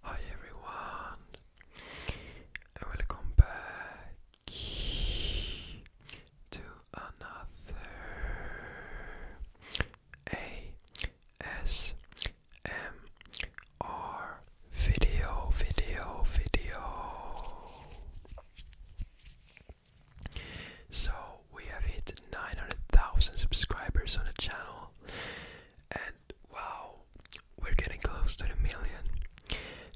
Hi everyone, and welcome back to another ASMR video, video, video. So we have hit 900,000 subscribers on the channel, and wow, we're getting close to the million.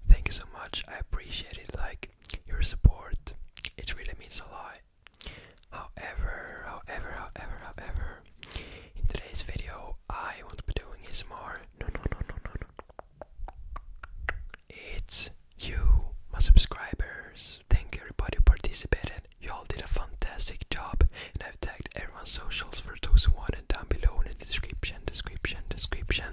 Thank you so much, I appreciate it. Like your support, it really means a lot. However, however, however, however, in today's video, I won't be doing is more. No, no, no, no, no, no. It's you, my subscribers. Thank everybody who participated. You all did a fantastic job, and I've tagged everyone's socials for those who want it down below in the description, description, description.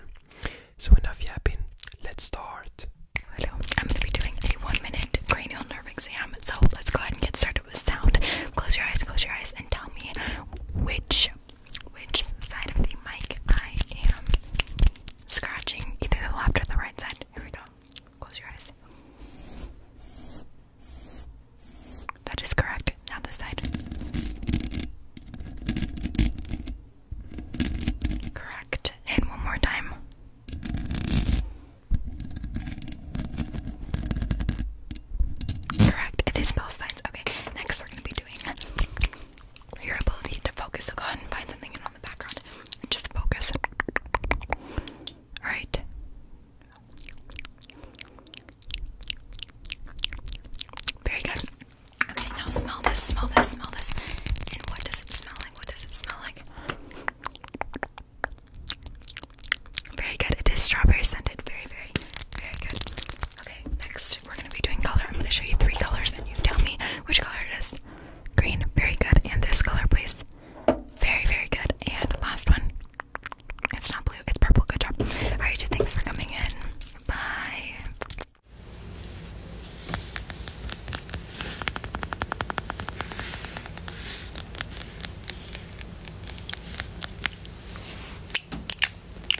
So enough yapping, let's start. Hello, I'm gonna be doing a one-minute cranial nerve exam. So let's go ahead and get started with sound. Close your eyes, close your eyes, and tell me which which side of the mic I am scratching, either the left or the right side. Here we go. Close your eyes. That is correct. Now this side. Correct. And one more time. Correct. It is both sides. Okay. Next, we're going to be doing your ability to focus. So go ahead and find something in on the background. Just focus. Alright. Very good. Okay, now smell this, smell this, smell this. And what does it smell like? What does it smell like? Very good. It is strawberry scented. Very, very, very good next we're gonna be doing color. I'm gonna show you three colors and you tell me which color it is. Green, very good. And this color, please. Very, very good. And last one. It's not blue, it's purple. Good job. Alright, thanks for coming in. Bye.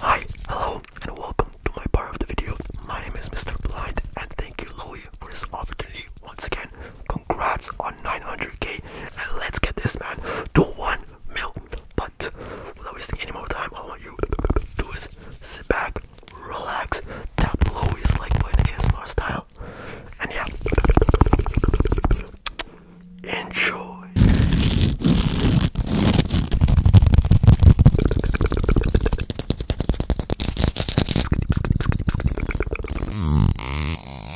Hi, hello, and welcome to my part of the video. My name is Mr. Blind, and thank you, Louie, for this opportunity once again. Congrats on 900k, and let's get this man to 1 mil. But without wasting any more time, all I want you to do is sit back, relax, tap below is like playing ASMR style, and yeah, enjoy.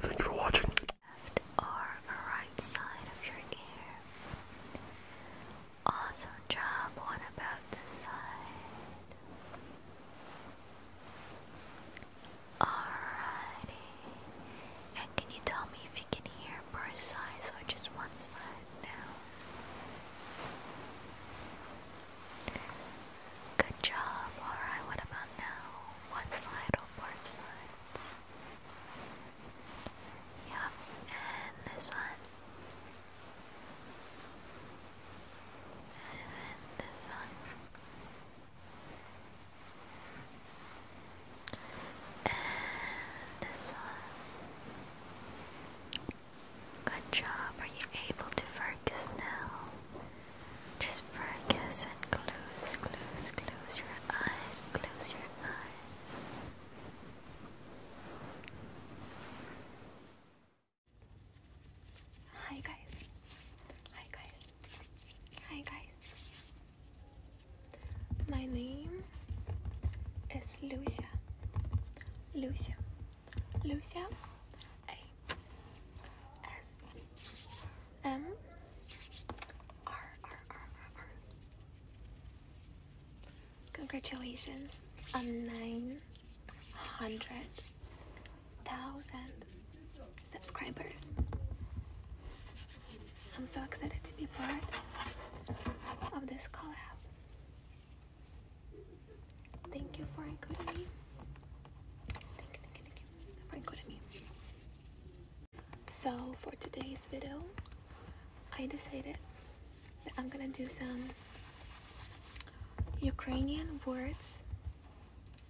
Thank you for watching. Left or right side of your ear. Awesome job. What about this side? Alrighty. And can you tell me if you can hear both sides or just one side now? Good job. Alright, what about now? One side or both sides? Yup, and this one. And this one. And this one. Good job. Are you able to focus now? Just focus and close, close, close your eyes, close your eyes. Hi guys. Hi guys. Hi guys. My name is Lucia. Lucia. Lucia. A. S. M. R. R. R. R. Congratulations on nine hundred thousand subscribers. I'm so excited to be part of this collab. Thank you for including me. Thank you, thank you, thank you for including me. So for today's video, I decided that I'm gonna do some Ukrainian words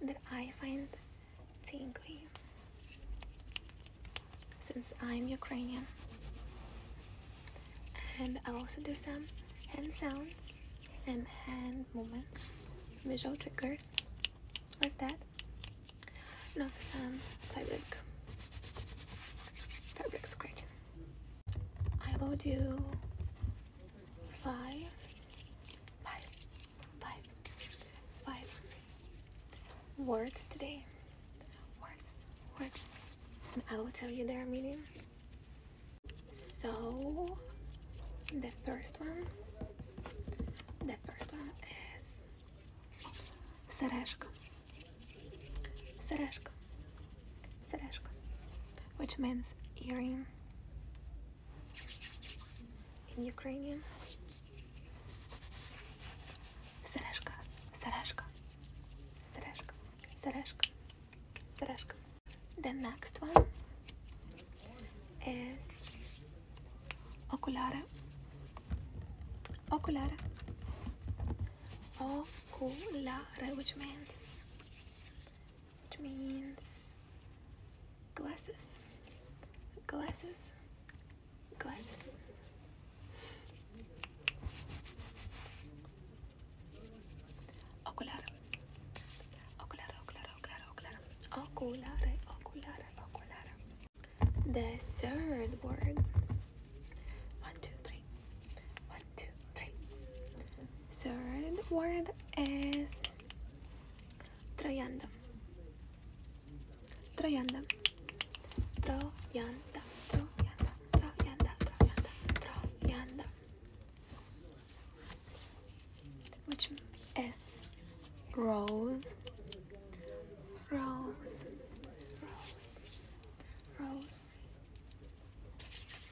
that I find tingly since I'm Ukrainian. And i also do some hand sounds and hand movements, visual triggers. What's that? And some fabric, fabric scratching. I will do five, five, five, Five words today. Words, words. And I will tell you their meaning. So, the first one, the first one is Sereshko. Sereshko. Sereshko. Which means earring in Ukrainian. Сережка, сережка, сережка, сережка, сережка. The next one is oculare, oculare, oculare, which means, which means glasses, glasses, glasses. Oculare. Oculare, oculare, oculare, oculare. Oculare, oculare, The third word. One, two, three. One, two, three. Third word is Troyando. Троянда. Троянда. Троянда. Троянда. Троянда. Троянда. Which is rose. Rose. Rose. Rose.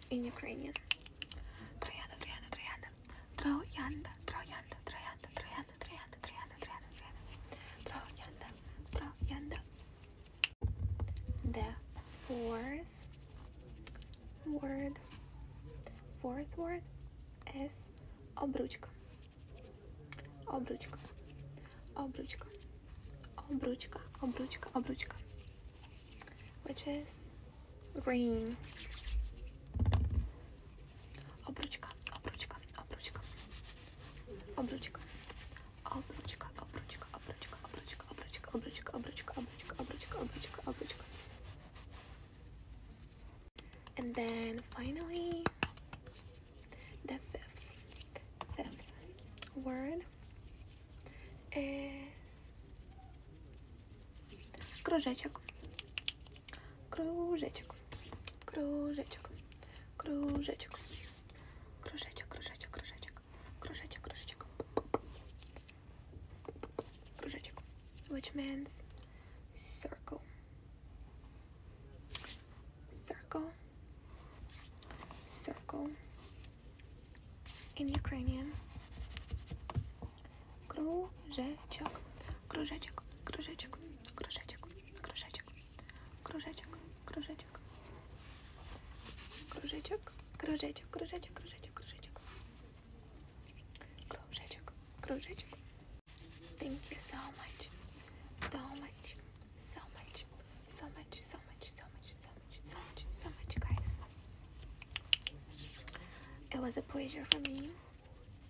In Ukrainian. Троянда. Троянда. Троянда. Троянда. Троянда. Троянда. Троянда. 300, 300, 300, 300, 300. The fourth word, fourth word is обручка. Обручка. Обручка. Обручка, обручка, обручка. Which is ring. Обручка, обручка, обручка. Обручка. Обручка, обручка, обручка, обручка, обручка, обручка, обручка, обручка, обручка, обручка, обручка. And then finally the fifth fifth word is кружечек. Кружечек. Кружечек. Кружечек. Кружечек, кружечек, кружечек. Кружечек, кружечек. Кружечек. Which means circle. Circle. Circle. In Ukrainian. Кружечек. Кружечек. Кружечек. Кружечек. Кружечек. Krążeczek, krążeczek. Krążeczek, krążeczek, krążeczek, krążeczek, krążeczek. Krążeczek, krążeczek. Thank you so much. So much, so much, so much, so much, so much, so much, so much, so much, guys. It was a pleasure for me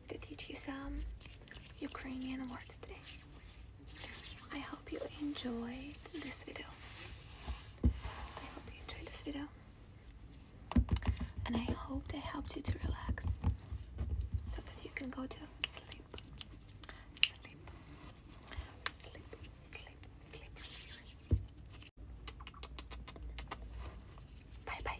to teach you some Ukrainian words today. I hope you enjoyed this video. I hope you enjoyed this video. And I hope it helped you to relax so that you can go to sleep. Sleep. Sleep. Sleep. Sleep. sleep. Bye bye.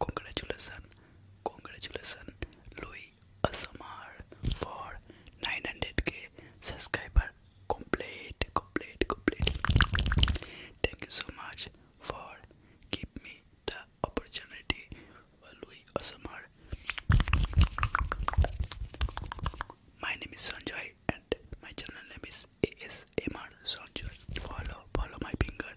Congratulations, congratulations, Louis Asamar for 900k subscriber. complete, complete, complete. Thank you so much for giving me the opportunity for Louis My name is Sanjay and my channel name is ASMR Sanjay. Follow, follow my finger.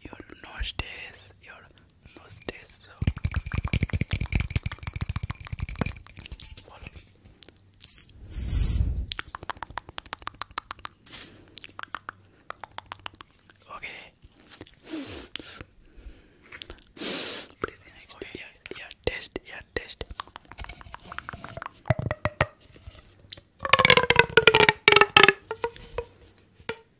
your nose nostrils, your nose So follow Okay. okay. Yeah, yeah, test, yeah, test.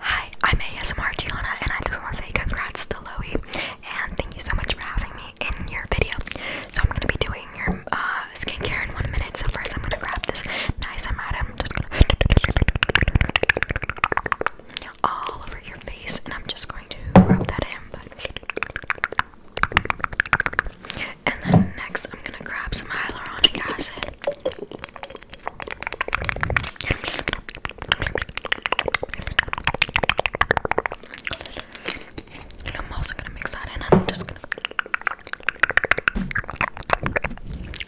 Hi, I'm ASMR Gianna, and I just want to say congrats to Loey, and thank you so much for having me in your video. So I'm gonna be doing your uh, skincare in one minute. So first, I'm gonna grab this nice amount. I'm just gonna all over your face, and I'm just going to rub that in. And then next, I'm gonna grab some hyaluronic acid. And I'm also gonna mix that in. I'm just gonna.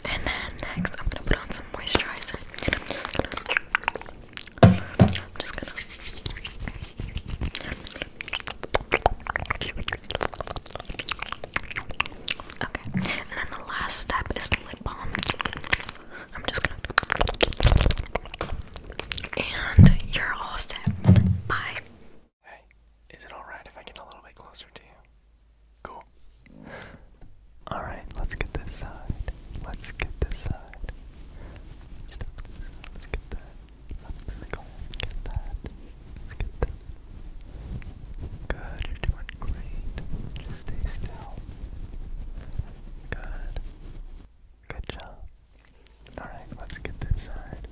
And then next, I'm gonna put on some moisturizer. I'm just gonna. Okay, and then the last step is lip balm. I'm just gonna. And you're all set. Bye. Hey, is it alright if I get a little bit closer to you? Cool. Alright, let's get this side. Let's get this side. Let's get that. Let's get that. Let's get that. Let's get that. Good, you're doing great. Just stay still. Good. Good job. Alright, let's get this side.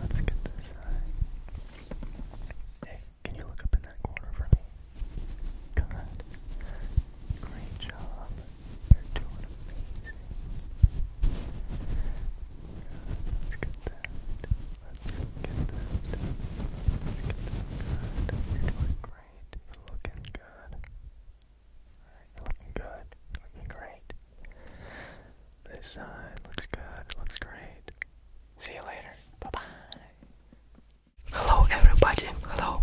Let's get this side. Hey, can you look up in that corner for me? Good. Great job. You're doing amazing. Let's get that. Let's get that. Let's get that You're doing great. You're looking good. Alright, looking good. looking great. This side looks good. It looks great. See you later. Bye bye. Hello, everybody. Hello.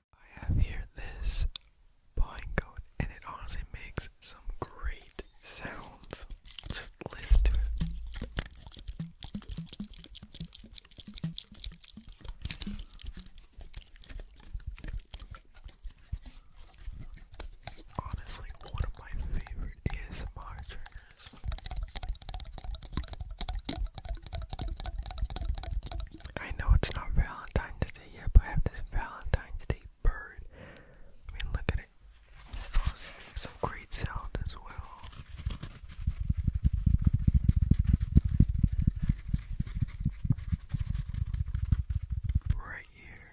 I have here this pine cone, and it honestly makes some great sounds. Just listen to it. Honestly, one of my favorite ASMR triggers. I know it's not Valentine's say, I have this Valentine's Day bird. I mean, look at it. It's some great sound as well. Right here.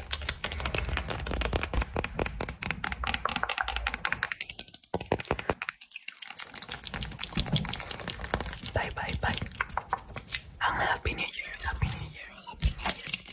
Bye bye bye. And oh, happy new year, happy new year, happy new year.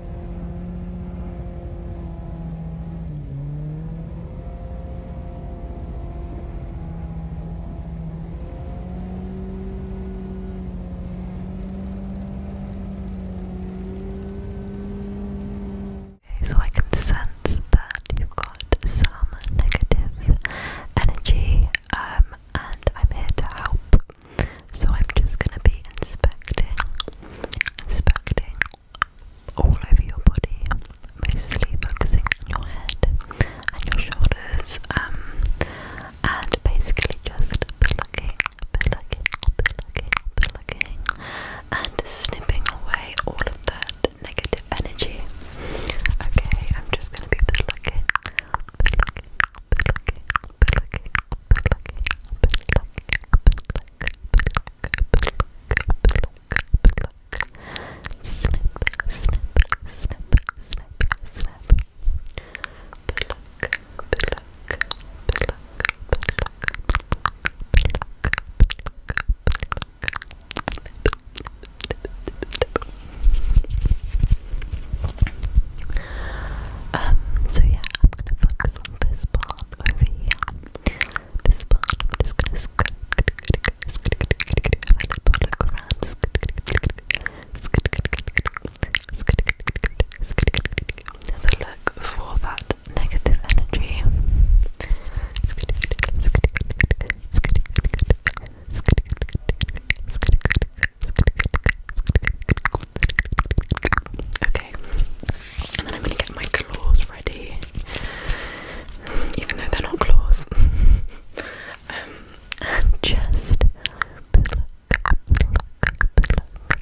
Okay, so I can sense that you've got some negative energy, um, and I'm here to help so I'm just gonna be inspecting, inspecting all over your body, mostly focusing on your head and your shoulders, um, and basically just plucking, plucking, plucking, plucking, and snipping away all of that negative energy. Okay, I'm just gonna be plucking, plucking, um, so yeah, I'm gonna I'm just gonna sk Have a look for that negative energy. Okay, and then I'm gonna get my claws ready, even though they're not claws. um, just pluck, pluck, pluck, pluck,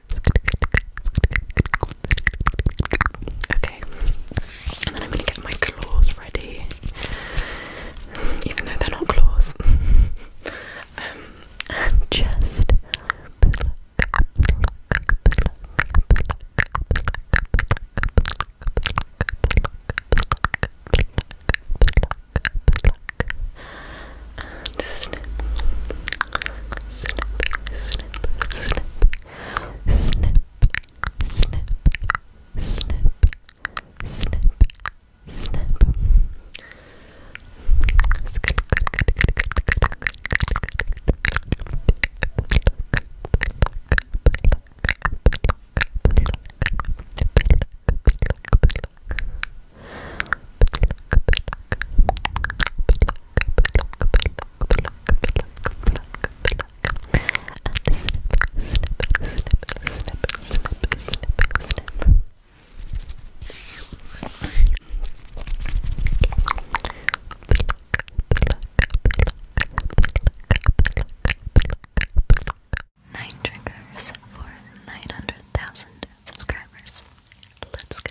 Okay, and then I'm gonna get my claws ready, even though they're not claws. um, and just pluck, pluck, pluck, pluck, pluck, pluck, pluck, pluck, pluck, snip, snip, snip, snip, snip, snip, snip, snip, snip. It's good, good, good, good, good, good, good, good, good, good, good, Nine triggers for 900,000 subscribers. Let's go.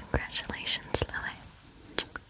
Congratulations, Loe.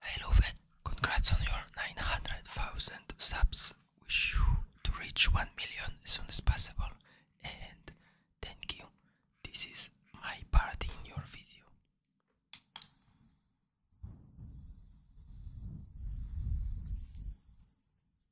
Hey congrats on your 900,000 subs. Wish you to reach 1 million as soon as possible. And thank you. This is my part in your video.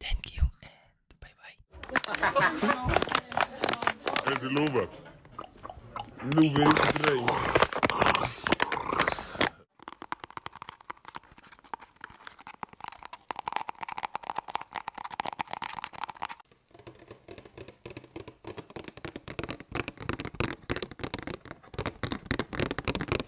Thank you and bye bye. it's Luba. Luba today.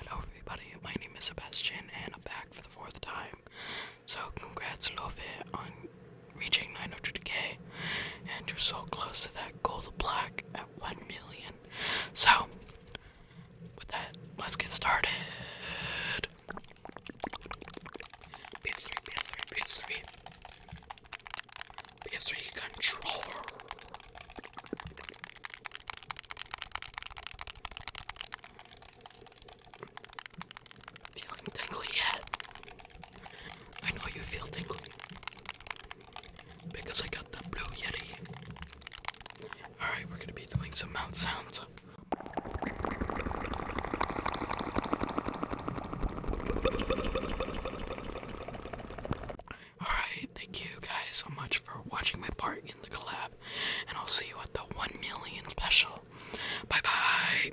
Hello, everybody. My name is Sebastian, and I'm back for the fourth time. So congrats Love on reaching 900k and you're so close to that gold black at 1 million. So with that, let's get started. PS3, PS3, PS3. PS3 controller. Feeling tingly yet? I know you feel tingly. Because I got the blue yeti. Alright, we're gonna be doing some mouth sounds. Alright, thank you guys so much for watching my part in the collab, and I'll see you at the 1 million special. Bye bye!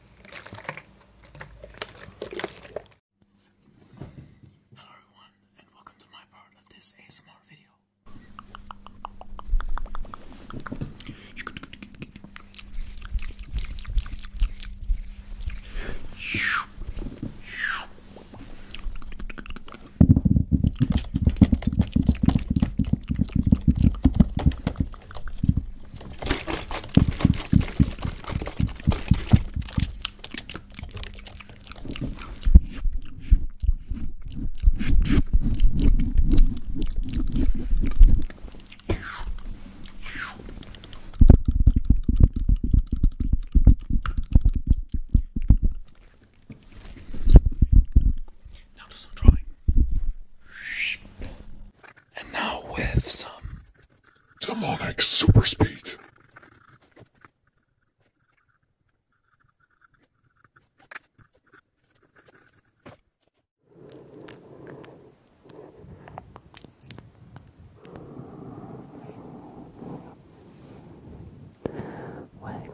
Hello everyone and welcome to my part of this ASMR video. Now do some drawing. And now with some demonic super speed. Welcome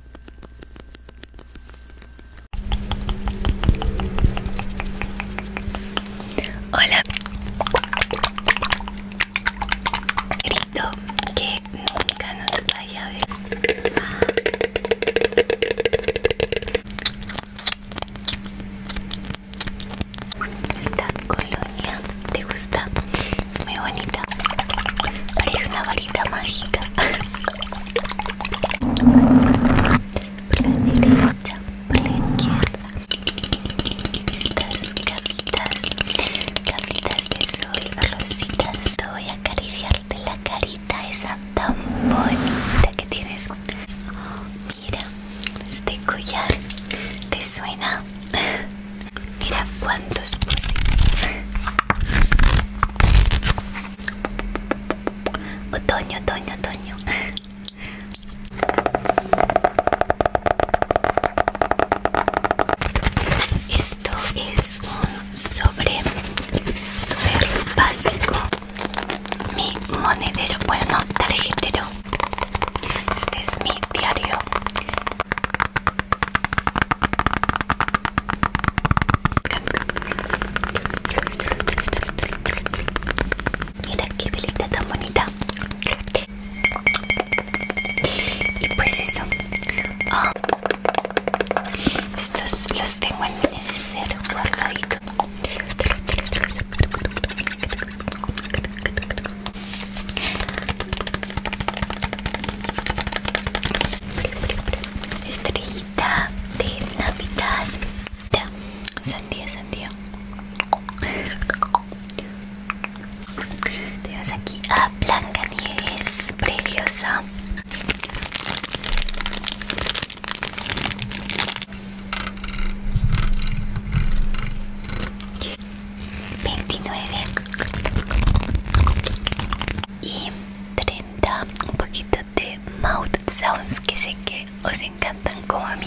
Hola. Grito que nunca nos vaya a ver. Esta colonia te gusta, es muy bonita. Parece una varita mágica por la derecha, por la izquierda. Estas gafitas, gafitas de sol rositas, voy a acariciarte la carita esa tan bonita que tienes. Mira, este collar te suena. Mira cuántos pusis. Otoño, otoño, otoño. Esto es un sobre super básico. Mi monedero, bueno, tarjetero. Este es mi diario. Mira qué tan bonita. Y pues eso. Ah. Estos los tengo en mi guardadito de navidad sandía sandía tenemos aquí a blanca nieves preciosa Veintinueve y treinta, un poquito The mouth sounds que sé que os encantan como a mí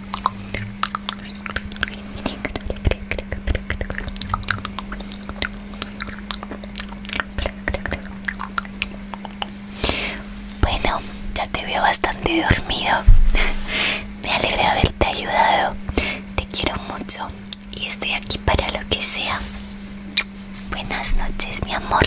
Bueno, ya te veo bastante dormido. Me alegra haberte ayudado. Te quiero mucho y estoy aquí para lo que sea. Buenas noches, mi amor.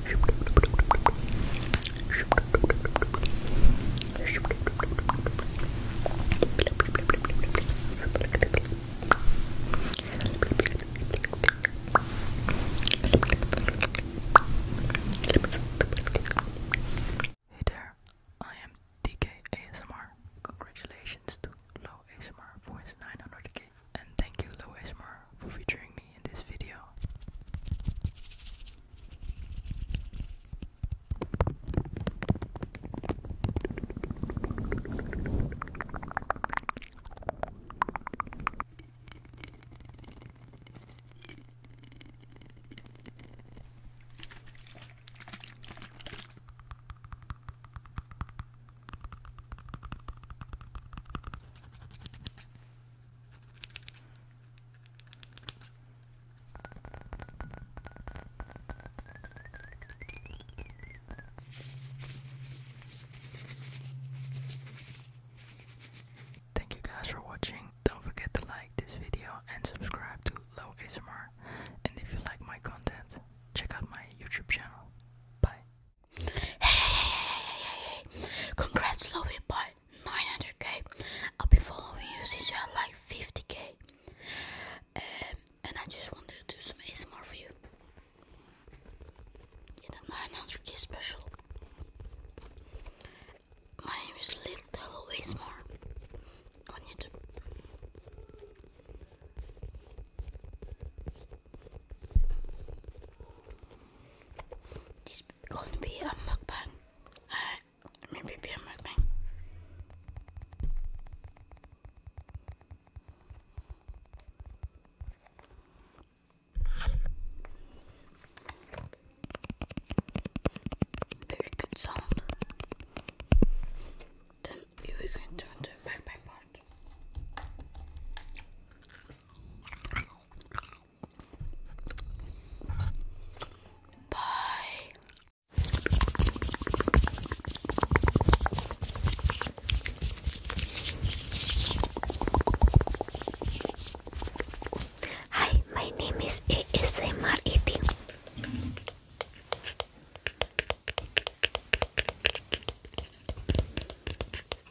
Hey there, I am DK ASMR. Congratulations to Low ASMR for his 900k and thank you Louis Moore for featuring me in this video. Thank you guys for watching. Don't forget to like this video and subscribe to Low ASMR. And if you like my content, check out my YouTube channel. Bye. Hey, hey, hey, hey, Congrats, Lobby Boy. 900k. I'll be following you since you're like 50k. Um, and I just wanted to do some ASMR for you. Get a 900k special. My name is Little ASMR on YouTube. This is gonna be a mukbang. Alright, maybe be a mukbang. Very good sound. Then we are going to mukbang part. Hi, my name is ASMR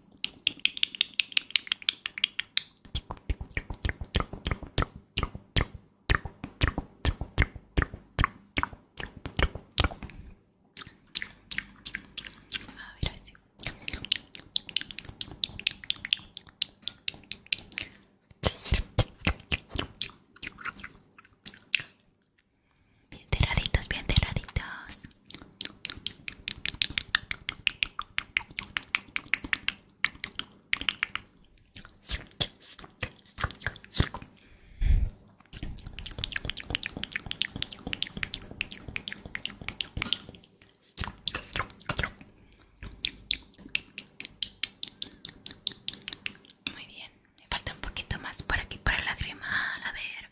A Bien cerraditos, bien cerraditos. Muy bien, me falta un poquito más por aquí para la crema, a ver.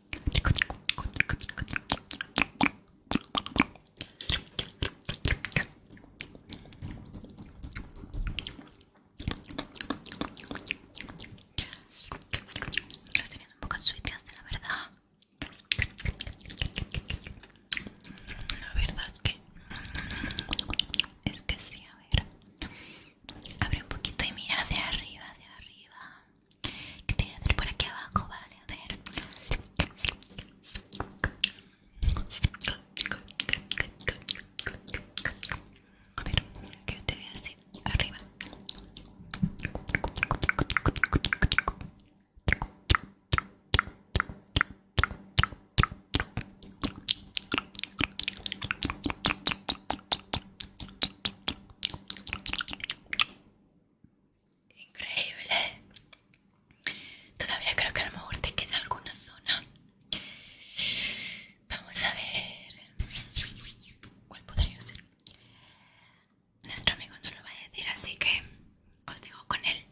Los tenéis un poco la verdad. La verdad es que... Mm, es que sí, a ver. Abre un poquito y mira hacia arriba, hacia arriba que te voy a por aquí abajo, vale, a ver a ver, que yo te vea así, arriba Increíble. Todavía creo que a lo mejor te queda alguna zona. Vamos a ver. ¿Cuál podría ser? Nuestro amigo no lo va a decir, así que os digo con él.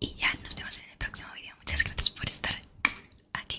Y ya nos vemos en el próximo vídeo Muchas gracias por estar aquí.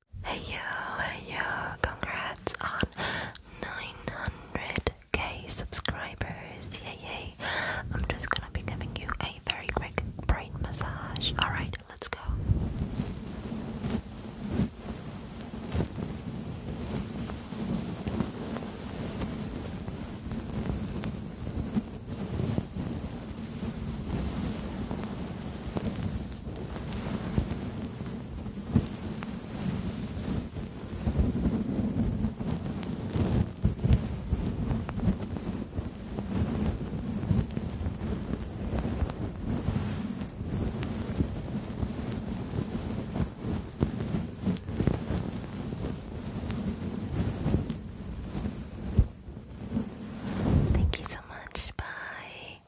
Hey yo, hey yo, congrats on 900k subscribers, yay yay. I'm just gonna be giving you a very quick brain massage. Alright, let's go. Thank you so much. Bye.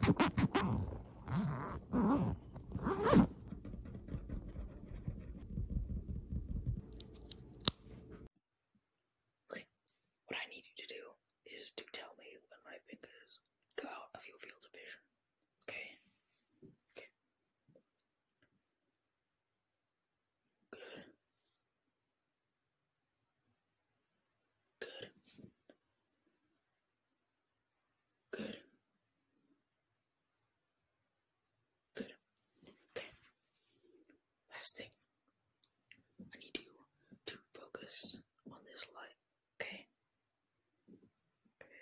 what I need you to do is to tell me when my fingers go out of your field of vision. Okay. Good. Good. Good. Good. Okay. Last thing. I need you to focus on this light, okay? Okay.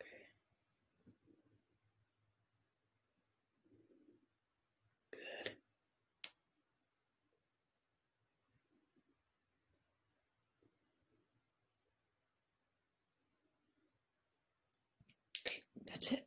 Okay. Good. that's it.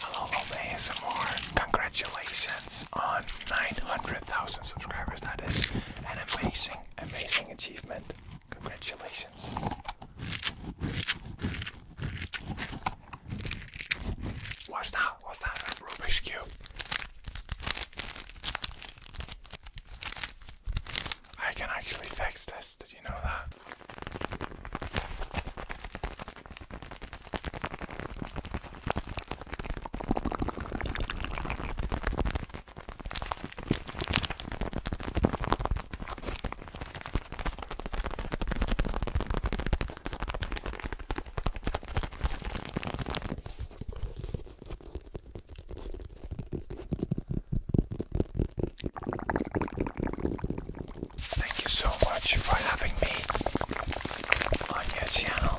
Hello, ASMR. Congratulations on 900,000 subscribers. That is an amazing, amazing achievement. Congratulations. What's that? What's that? A Rubik's I can actually fix this. Did you know that? Thank you so much for having me on your channel.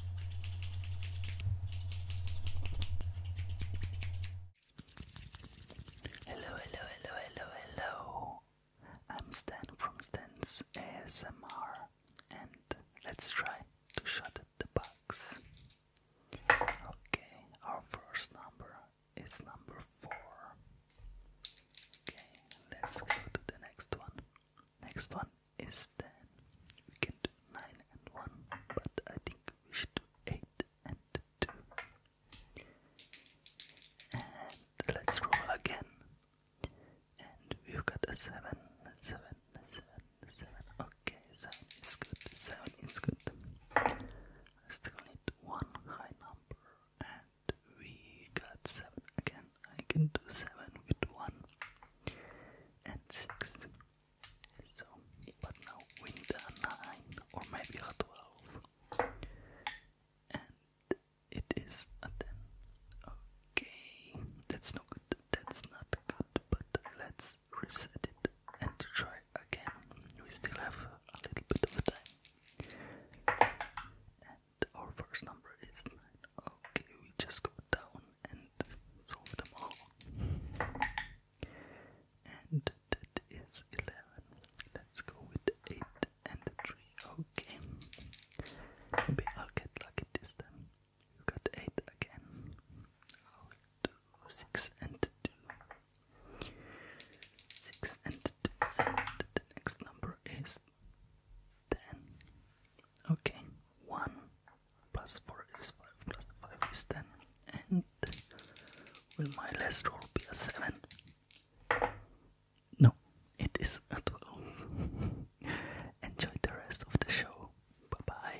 Hello, hello, hello, hello, hello. I'm Stan from Stan's ASMR, and let's try to shut the box. Okay, our first number is number four. Okay, let's go to the next one. Next one is 10. We can do 9 and 1, but I think we should do 8 and 2. And let's roll again. And we've got a 7, Okay, 7 is good, 7 is good. I still need one high number, and we got 7 again. I can do 7 with 1 and 6. So, but now we need a 9 or maybe a 12. And it is 10. Okay, that's not good. That's not good, but let's reset it and try again. We still have a little bit of time. And our first number is 9. Okay, we just go down and solve them all. And that is 11. Let's go with 8 and 3. Okay. Maybe I'll get lucky this time. You got 8 again. i 6 and 2. 6 and 2. And the next number is 10. Okay. 1, plus 4 is 5, plus 5 is 10, and will my last roll be a 7? No, it is a 12. Enjoy the rest of the show. Bye bye.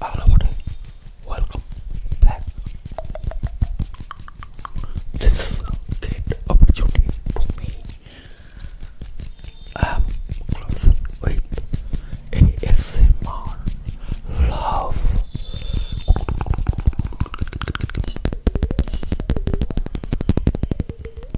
Hello, welcome back. This is a great opportunity for me. I'm closing with ASMR love.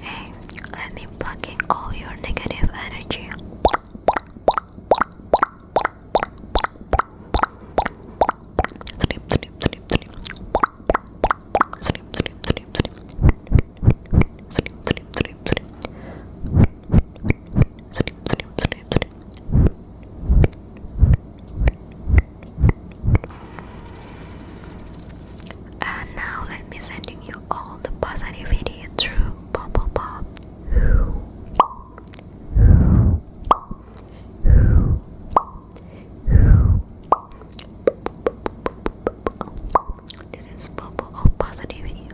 Hey, let me plug in all your negative energy. And now let me sending you all the positivity through bubble pop. This is bubble of positivity.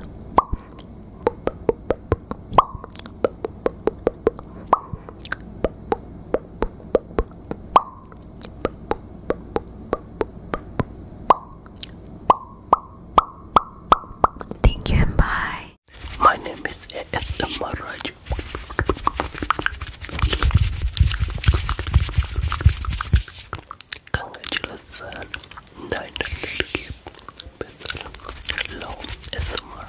Thank you and bye. My name is A.S. Maraj. Congratulations 900k with low SMR.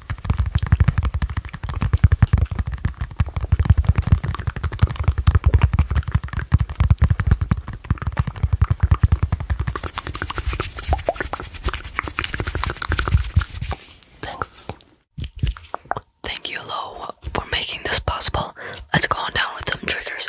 Thanks. Thank you, Lo, for making this possible. Let's go on down with some triggers.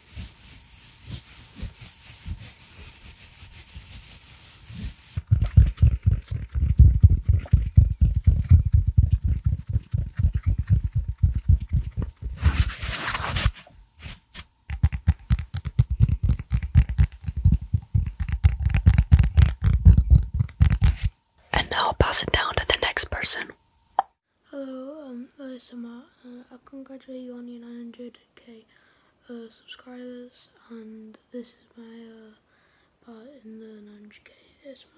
And now I'll pass it down to the next person. Hello, um, uh, Summer. Uh, I congratulate you on your 900 2k uh, subscribers and this is my uh, part in the 900k ASMR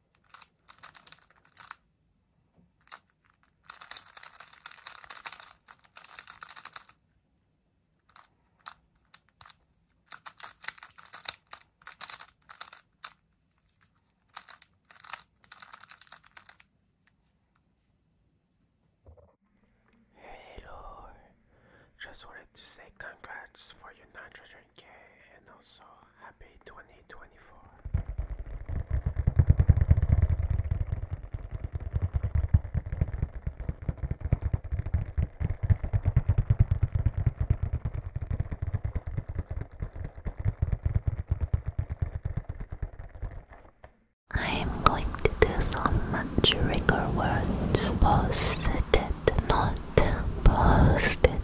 Hey Lord, just wanted to say congrats for your 900k and also happy 2024. I am going to do some trigger words. Posted, not posted,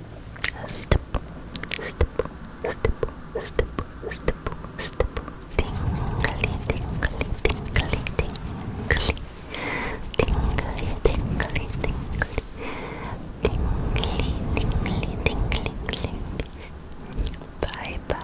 step, step, step, step, step, step, tingly, tingly, tingly, tingly, tingly, tingly, tingly, tingly, tingly, tingly, tingly. Bye bye.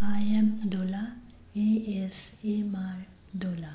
I am Dola, he is Imar Dola.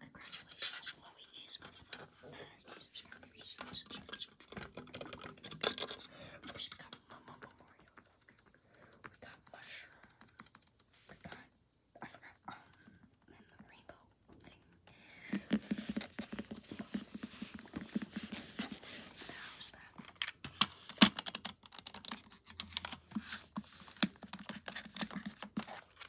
Congratulations, Chloe is one of uh, we got Mama Memorial Milk. We got Mushroom. We got, I forgot, um, and the Rainbow thing.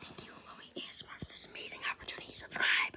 Thank you, Louie ASMR, for this amazing opportunity. Subscribe.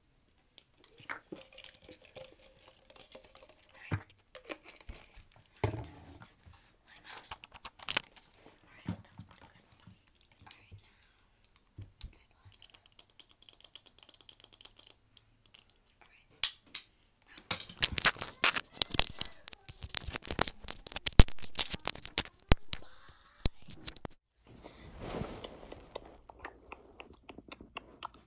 Alright. Next, my mouse. Alright, that's pretty good. Alright, now, my glasses. Alright. Now, bye.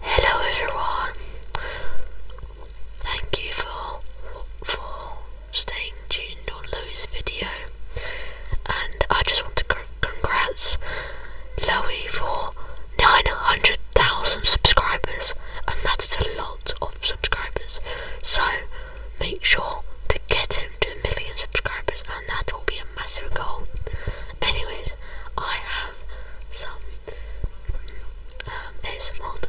Hello everyone. Thank you for for staying tuned on Louis' video, and I just want to congrats, Loey, for 900,000 subscribers, and that's a lot of subscribers. So make sure to get him to a million subscribers, and that will be a massive goal. Anyways, I have some um, ASMR to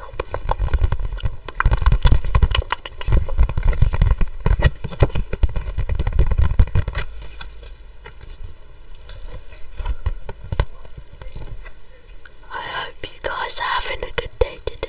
I hope you guys are having a good day today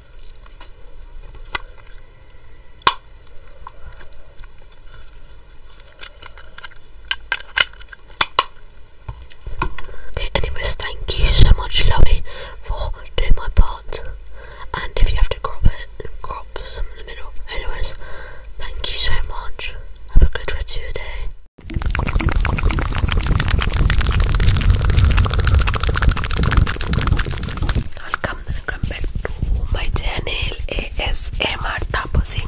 Okay, anyways, thank you so much, Chloe, for doing my part. And if you have to crop it, crop some in the middle. Anyways, thank you so much. Have a good rest of your day. Welcome, welcome back to my channel ASMR Taposin.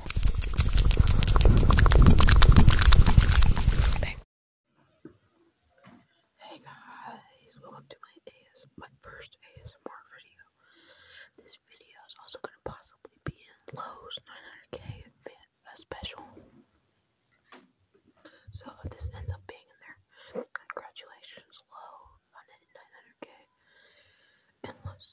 Hey guys, welcome to my first ASMR video. This video is also going to possibly be in Lowe's 900K special. So if this ends up being in there, congratulations, Lowe, on it 900K. And let's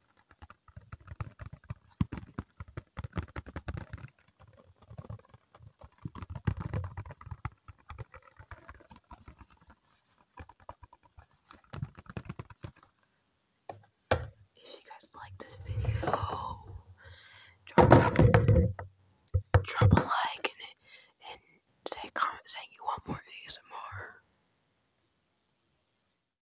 If you guys like this video, drop, a like and, and say comment saying you want more ASMR.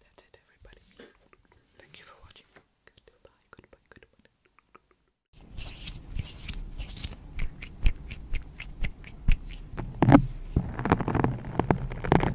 That's it, everybody. Thank you for watching. Goodbye, goodbye, goodbye.